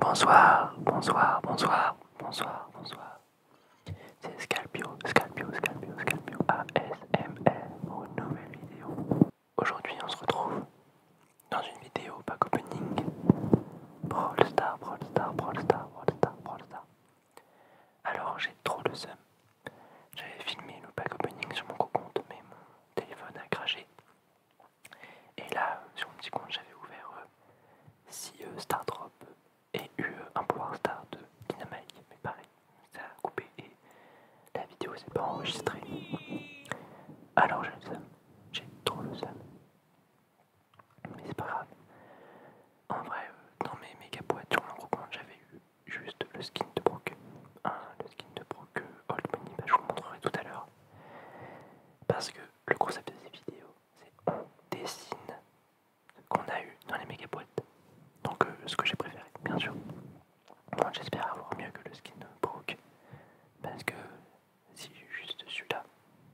Bonsoir, bonsoir, bonsoir, bonsoir, bonsoir. C'est Scalpio, Scalpio, Scalpio, Scalpio ASMR pour une nouvelle vidéo. Aujourd'hui, on se retrouve dans une vidéo pack opening. Brawl Star, Brawl Star, Brawl Star, Brawl Star, Brawl Star. Alors, j'ai trop de seum. J'avais filmé le pack opening sur mon compte, mais mon téléphone a craché. Et là, sur mon petit compte, j'avais ouvert 6 euh, euh, Star Drop et eu euh, un Power Star de Dynamite, mais pareil, ça a coupé et la vidéo s'est pas enregistrée. Alors j'ai ça, ça, j'ai trop ça, Mais c'est pas grave. En vrai, dans mes méga boîtes sur mon compte, j'avais eu juste le skin de Brock. le skin de Brock Old Money, bah, je vous le montrerai tout à l'heure. Parce que le concept de ces vidéos, c'est on dessine ce qu'on a eu dans les méga boîtes. Donc euh, ce que j'ai préféré, bien sûr. Bon, j'espère avoir mieux que le skin Brook. Parce que si j'ai juste celui-là,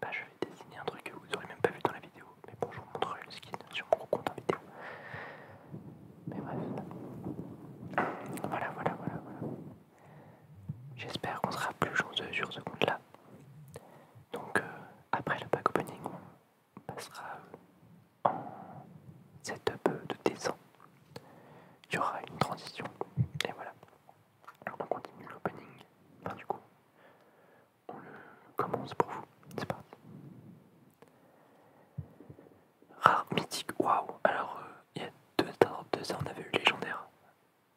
bah, je vais dessiner un truc que vous n'aurez même pas vu dans la vidéo. Mais bon, je vous montrerai le skin sur mon compte en vidéo. Mais bref. Voilà, voilà, voilà, voilà. J'espère qu'on sera plus chanceux sur ce compte-là. Donc euh, après le pack opening, on passera euh, en setup de dessin. Il y aura une transition. Et voilà. Alors on continue l'opening. Enfin du coup, on le commence pour vous. C'est parti. Rare mythique, waouh Alors euh, il y a deux, deux ans, on avait eu légendaire.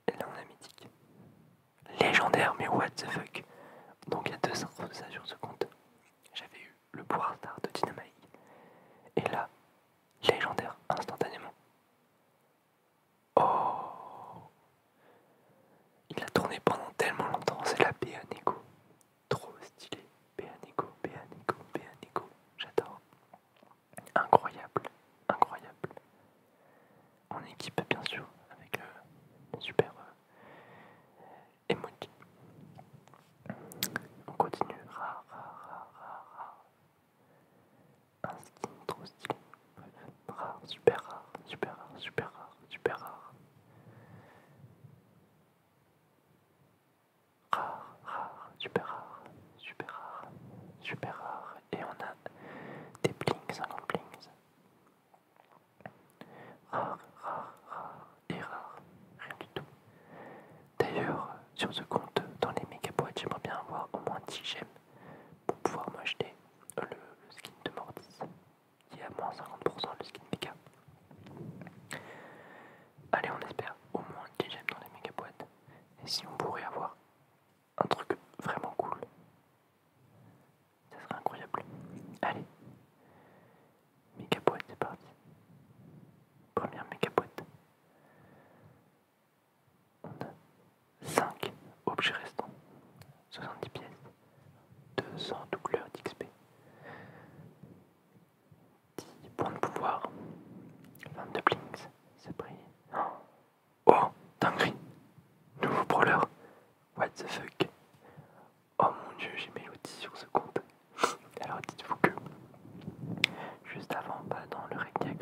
Et là, on a mythique. Légendaire, mais what the fuck. Donc, il y a deux ans, sur ce compte, j'avais eu le pouvoir d'art de Dynamite. Et là, légendaire, instantanément. Oh Il a tourné pendant tellement longtemps, c'est la BA Trop stylé. BA Neko, BA J'adore incroyable, incroyable. On équipe, bien sûr, avec euh, super émotion. Euh, On continue. rare, rare, rare, trop stylé. rare, super rare, super rare, super rare, super rare rare, rare, super rare, super rare, super rare. Et on a des blings, 50 blings. Rare, rare, rare et rare. Rien du tout. D'ailleurs, sur ce compte, dans les méga boîtes, j'aimerais bien avoir au moins 10 gemmes pour pouvoir m'acheter le, skin de Mordis, qui est à moins 50% le skin méga. Allez, on espère au moins 10 gemmes dans les méga boîtes. Et si on pourrait avoir un truc vraiment cool, ça serait incroyable. Allez, méga boîte, c'est parti. Première méga boîte. On a 5 objets restants, 70 pièces, 200 doubleurs d'XP, 10 points de pouvoir. 22 blinks, c'est pris. Oh, dinguerie. Nouveau brawler. What the fuck. Oh mon dieu, j'ai Melody sur ce compte. Alors dites-vous que, juste avant, bah, dans le Regnia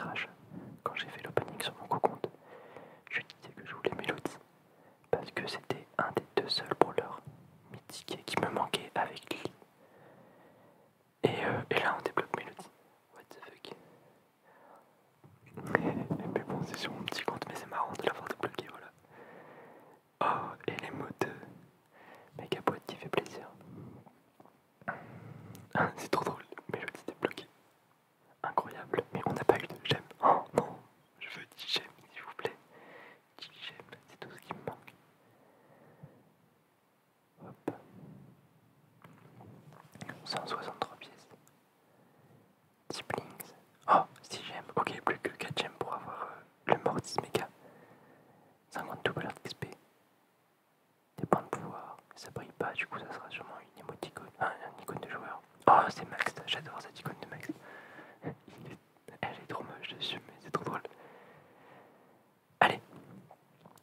quand j'ai fait l'opening sur mon co-compte, je disais que je voulais Melody, Parce que c'était un des deux seuls brawlers mythiques qui me manquait avec Lee. Et, euh, et là on débloque Melody. What the fuck. mais bon c'est sur mon petit compte mais c'est marrant de l'avoir débloqué voilà. Oh et les mots de Megapod qui fait plaisir. c'est trop drôle, Melody débloquée. Incroyable, mais on n'a pas eu de j'aime. Oh non, je veux 10 j'aime s'il vous plaît. 10 j'aime, c'est tout ce qui me manque. 163 pièces. Tiplings. Oh, 6 gemmes. Ok, plus que 4 gemmes pour avoir euh, le Mortis méga, 50 double d'XP. Des points de pouvoir. Ça brille pas, du coup ça sera sûrement une émoticône. une icône de joueur. Oh, c'est Max. J'adore cette icône de Max. Elle est trop moche dessus, mais c'est trop drôle. Allez,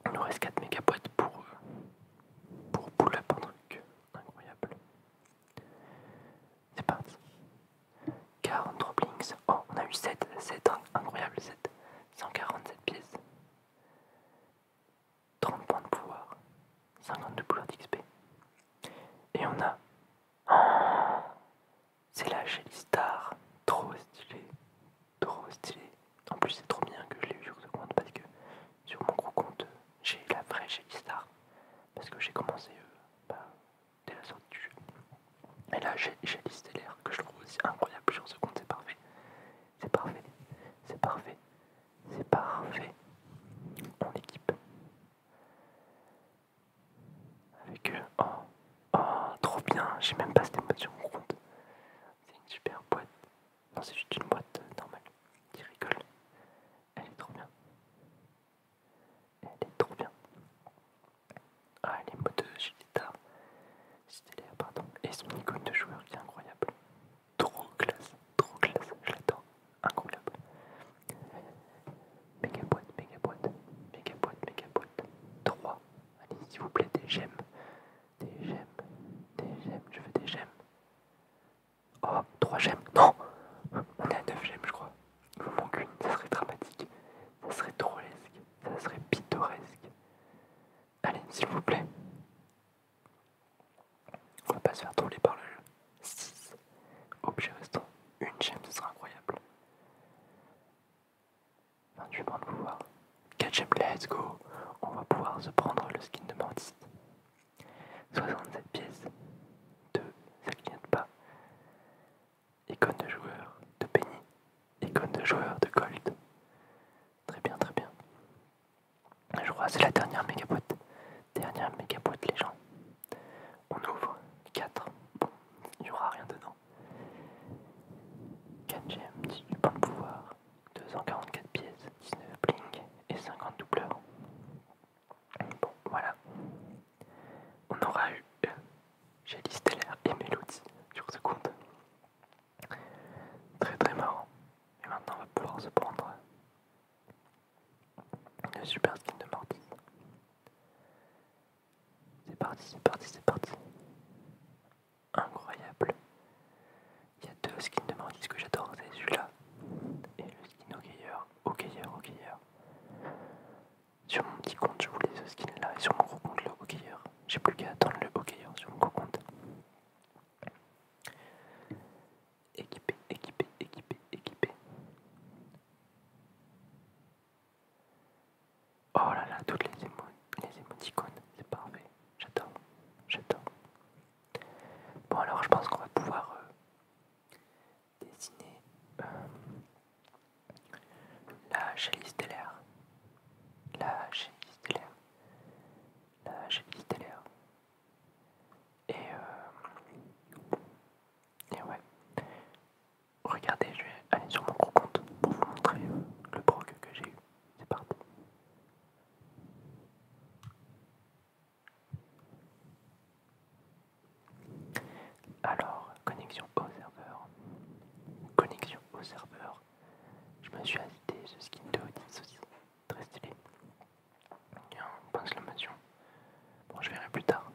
il nous reste 4 mégaboîtes pour, euh, pour pull-up un incroyable. C'est parti. 40 droplings. Oh, on a eu 7. 7 hein. incroyable, 7. 147 pièces. 30 points de pouvoir. 52 pouvoirs d'XP. Et on a... Oh, c'est la jelly Star. Trop stylé trop stylé. En plus, c'est trop bien que je l'ai eu sur ce compte parce que sur mon gros compte, j'ai la vraie Star parce que j'ai commencé euh, bah, dès la sortie du jeu. Et là, j'ai l'air que je trouve aussi incroyable sur ce compte, c'est parfait. C'est parfait, c'est parfait, c'est parfait. Mon équipe avec eux. Oh, oh, trop bien, j'ai même pas cette émotion compte. C'est une super boîte. Non, c'est juste une boîte euh, normale. qui rigole. Elle est trop bien. Elle est trop bien. Ah, les est de euh, Gileta. C'était pardon. Et son icône de joueur qui est incroyable. Trop classe, trop classe. Je l'attends. Incroyable. Méga boîte, méga boîte, méga boîte, boîte. 3. Allez, s'il vous plaît, des j'aime. Des gemmes, des gemmes, je veux des gemmes. Oh, trois gemmes, non On est à 9 gemmes, je crois. Il vous manque une, ça serait dramatique. Ça serait drôlesque, ça serait pittoresque. Allez, s'il vous plaît. On va pas se faire troller par le jeu. 6. Objet restant, une gemme, ce serait incroyable. 28 points de pouvoir. 4 gems let's go. On va pouvoir se prendre le skin de Mortis. 67 pièces. 2, ça clignote pas. Icône de joueur de Penny. Icône de joueur de Gold. Très bien, très bien. Je crois que c'est la dernière méga boîte. Dernière méga boîte, les gens. On ouvre 4. Bon, il n'y aura rien dedans. 4 gemmes, 18 points de pouvoir, 244 pièces, 19 bling et 50 doubleurs. Bon, voilà. On aura eu euh, Jelly l'air et Mélodie sur ce compte. Très très marrant. Et maintenant on va pouvoir se prendre le super skin de Morty. C'est parti, c'est parti, c'est parti incroyable. Il y a deux skins de Mantis que j'adore, c'est celui-là et le skin hockeyeur, hockeyeur, hockeyeur. Sur mon petit compte, je voulais ce skin-là et sur mon gros compte, le hockeyeur. J'ai plus qu'à attendre le hockeyeur sur mon gros compte. Équipé, équipé, équipé, équipé. Oh là là, toutes les, émoticônes, c'est parfait. J'adore, j'adore. Bon alors, je pense qu'on va pouvoir euh, dessiner euh, la Chalice stellaire. La Chalice stellaire. La Chalice stellaire. Et, euh, et ouais. Regardez, je vais aller sur mon gros compte pour vous montrer le prog que j'ai eu. C'est parti. Alors, connexion au serveur. Connexion au serveur. Je me suis agité ce skin de Odyssey Très stylé. Tiens, pense la un Bon, je verrai plus tard.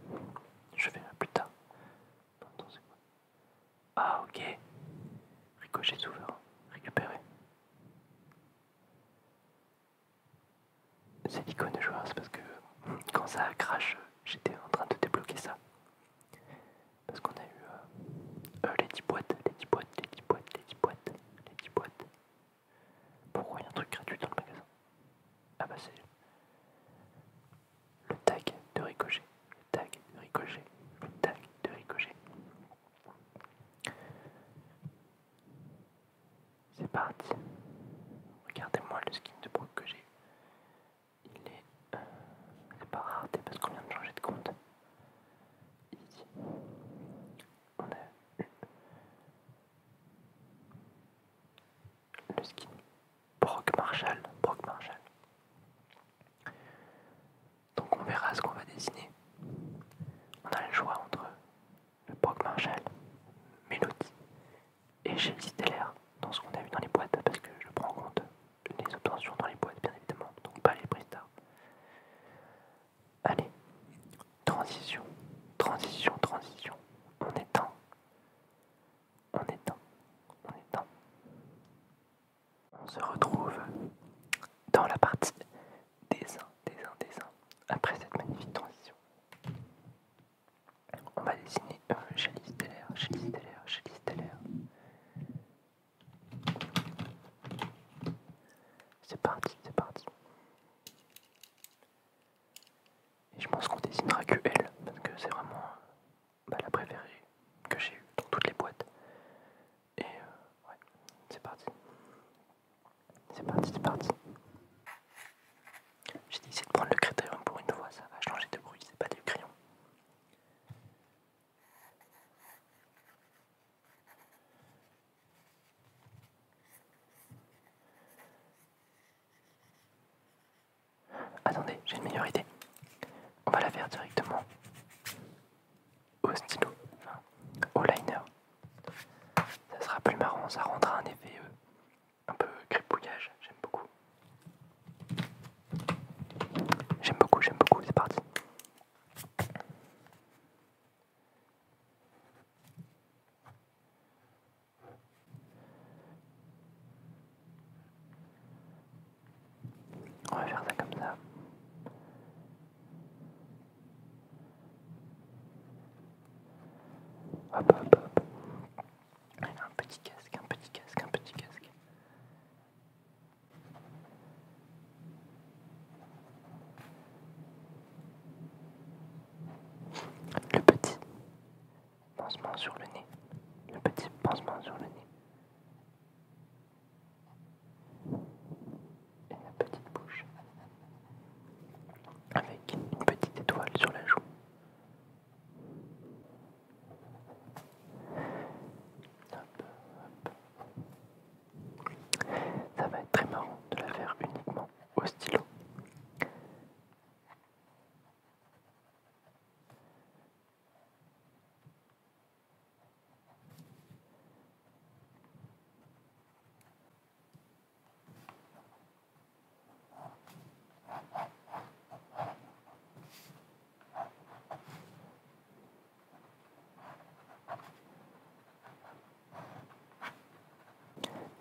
Je verrai plus tard. Ah ok. Ricochet souvent, Récupéré. C'est l'icône joueur, c'est parce que quand ça crash, j'étais en train de débloquer ça. Parce qu'on a eu les 10 boîtes, les 10 boîtes, les 10 boîtes, les 10 boîtes, les 10 boîtes. Pourquoi il y a un truc gratuit dans le magasin Ah bah c'est le tag de ricochet, le tag de ricochet, le tag de ricochet. C'est parti. Regardez-moi le skin de Brock que j'ai. Il est. Euh, c'est pas rareté parce qu'on vient de changer de compte. On a le skin Brock Marshall. Brock Marshall. Donc on verra ce qu'on va dessiner. On a le choix entre le POG Marshall, Melody et Chelsea Stellaire dans ce qu'on a vu dans les boîtes parce que je prends en compte les obtentions dans les boîtes bien évidemment, donc pas les prestats. Allez, transition, transition, transition. On est temps, on est temps, on est temps. On se retrouve dans la partie dessin, des dessin. Après cette magnifique transition, on va dessiner un teller, Chalice Chélie Chalice teller. C'est parti, c'est parti. Et je pense qu'on dessinera que elle, parce que c'est vraiment bah, la préférée que j'ai eue dans toutes les boîtes. Et euh, ouais, c'est parti. C'est parti, c'est parti. J'ai décidé de prendre le critérium pour une fois, ça va changer de bruit, c'est pas du crayon. Attendez, j'ai une meilleure idée. On va la faire directement au stylo, au liner. Ça sera plus marrant, ça rendra un effet euh, un peu gripouillage, J'aime beaucoup. J'aime beaucoup, j'aime beaucoup. C'est parti. On va faire ça comme ça. Hop hop hop. Un petit casque, un petit casque, un petit casque. Le petit pansement sur le nez. Le petit pansement sur le nez et la petite bouche avec une petite étoile sur la joue. Ça va être très marrant de la faire uniquement au stylo.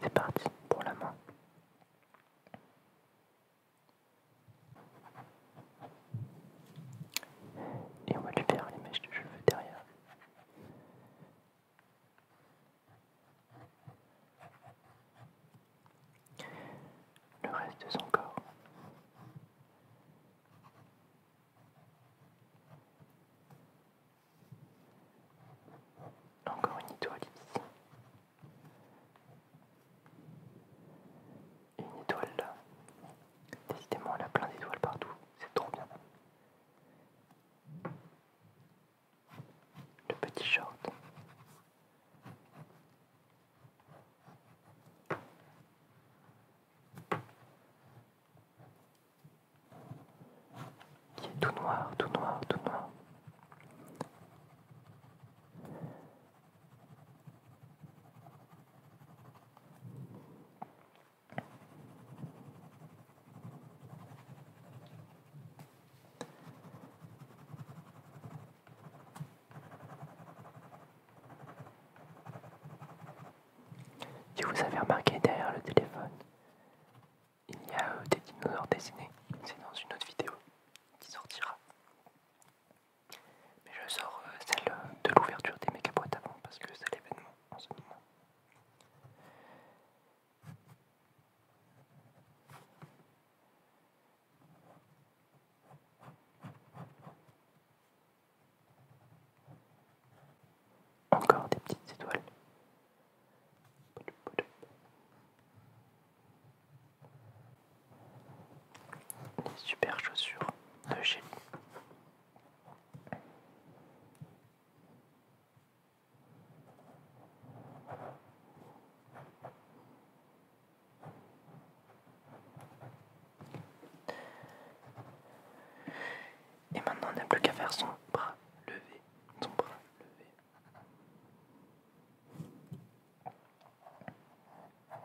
C'est parti pour la main. Et on va lui faire les mèches de cheveux derrière. Le reste de son corps. Encore une étoile une étoile là. Décidément, elle a plein d'étoiles partout, c'est trop bien. Le petit short. Qui est tout noir, tout noir, tout noir. Si vous avez remarqué derrière le téléphone, il y a euh, des dinosaures dessinés, c'est dans une autre vidéo qui sortira. Mais je sors euh, celle euh, de l'ouverture des méga boîtes avant parce que c'est l'événement en ce moment. Encore des petites étoiles super chaussures de chez Et maintenant, on n'a plus qu'à faire son bras levé, son bras levé.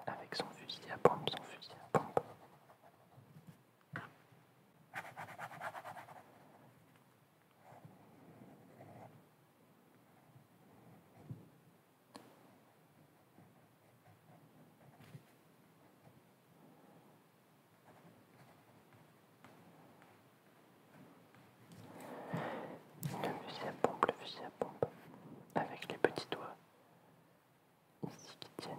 Avec son fusil à pompe, son fusil à pompe. Le fusil à pompe, le fusil à pompe avec les petits doigts ici qui tiennent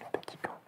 le petit gant.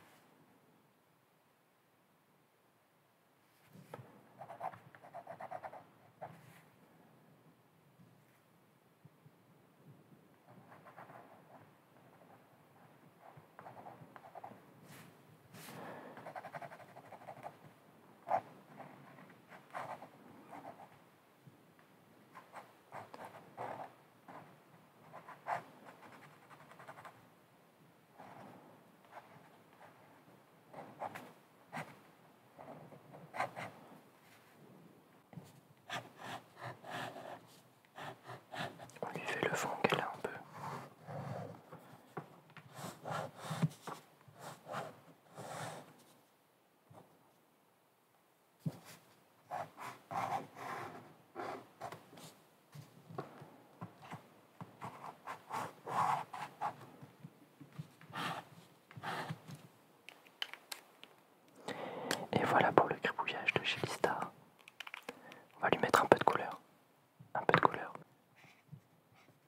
On lui fait le fond qu'elle a un peu. Et voilà pour le cribouillage de Star. On va lui mettre un peu de couleur. Un peu de couleur.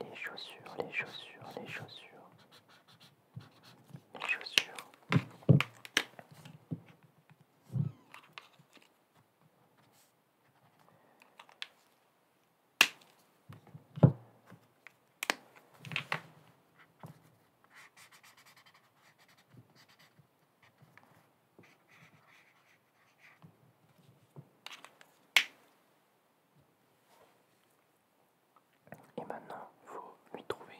Les chaussures, les chaussures, les chaussures. Et maintenant, il faut lui trouver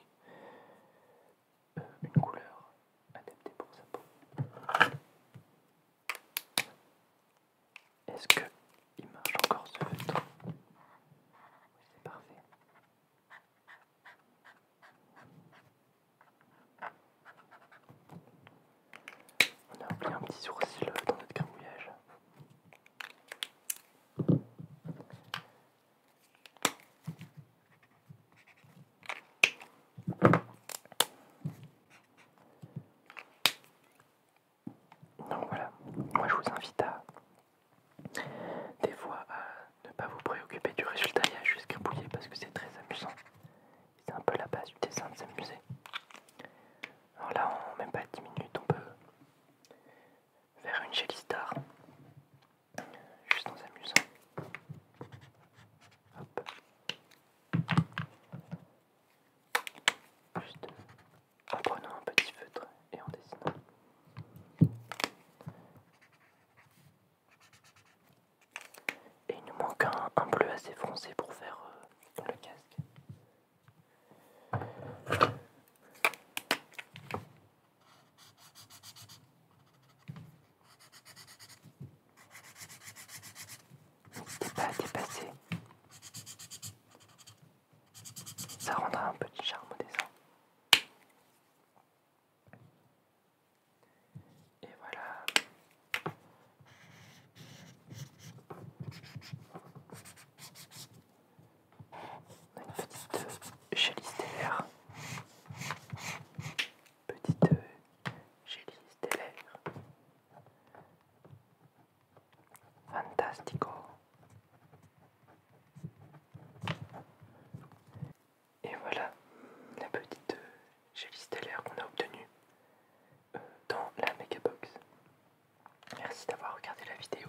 une couleur adaptée pour sa peau. Est-ce que il marche encore ce feutre Oui, c'est parfait. On a oublié un petit sourcil dans notre gramouillage. Donc voilà, moi je vous invite à des fois à ne pas vous préoccuper du résultat et à juste parce que c'est très amusant. C'est un peu la base du dessin de s'amuser. Alors là, en même pas 10 minutes, on peut faire une jelly star juste en s'amusant. Hop. Juste en prenant un petit feutre et en dessinant. Et il nous manque un, bleu assez foncé pour faire euh, le casque. N'hésitez pas à Ça rendra un petit charme au dessin. Et voilà. On a une petite euh, gélistellaire. Petite euh, Fantastico. Et voilà la petite euh, d'air qu'on a obtenue dans la Mega Box. Merci d'avoir regardé la vidéo.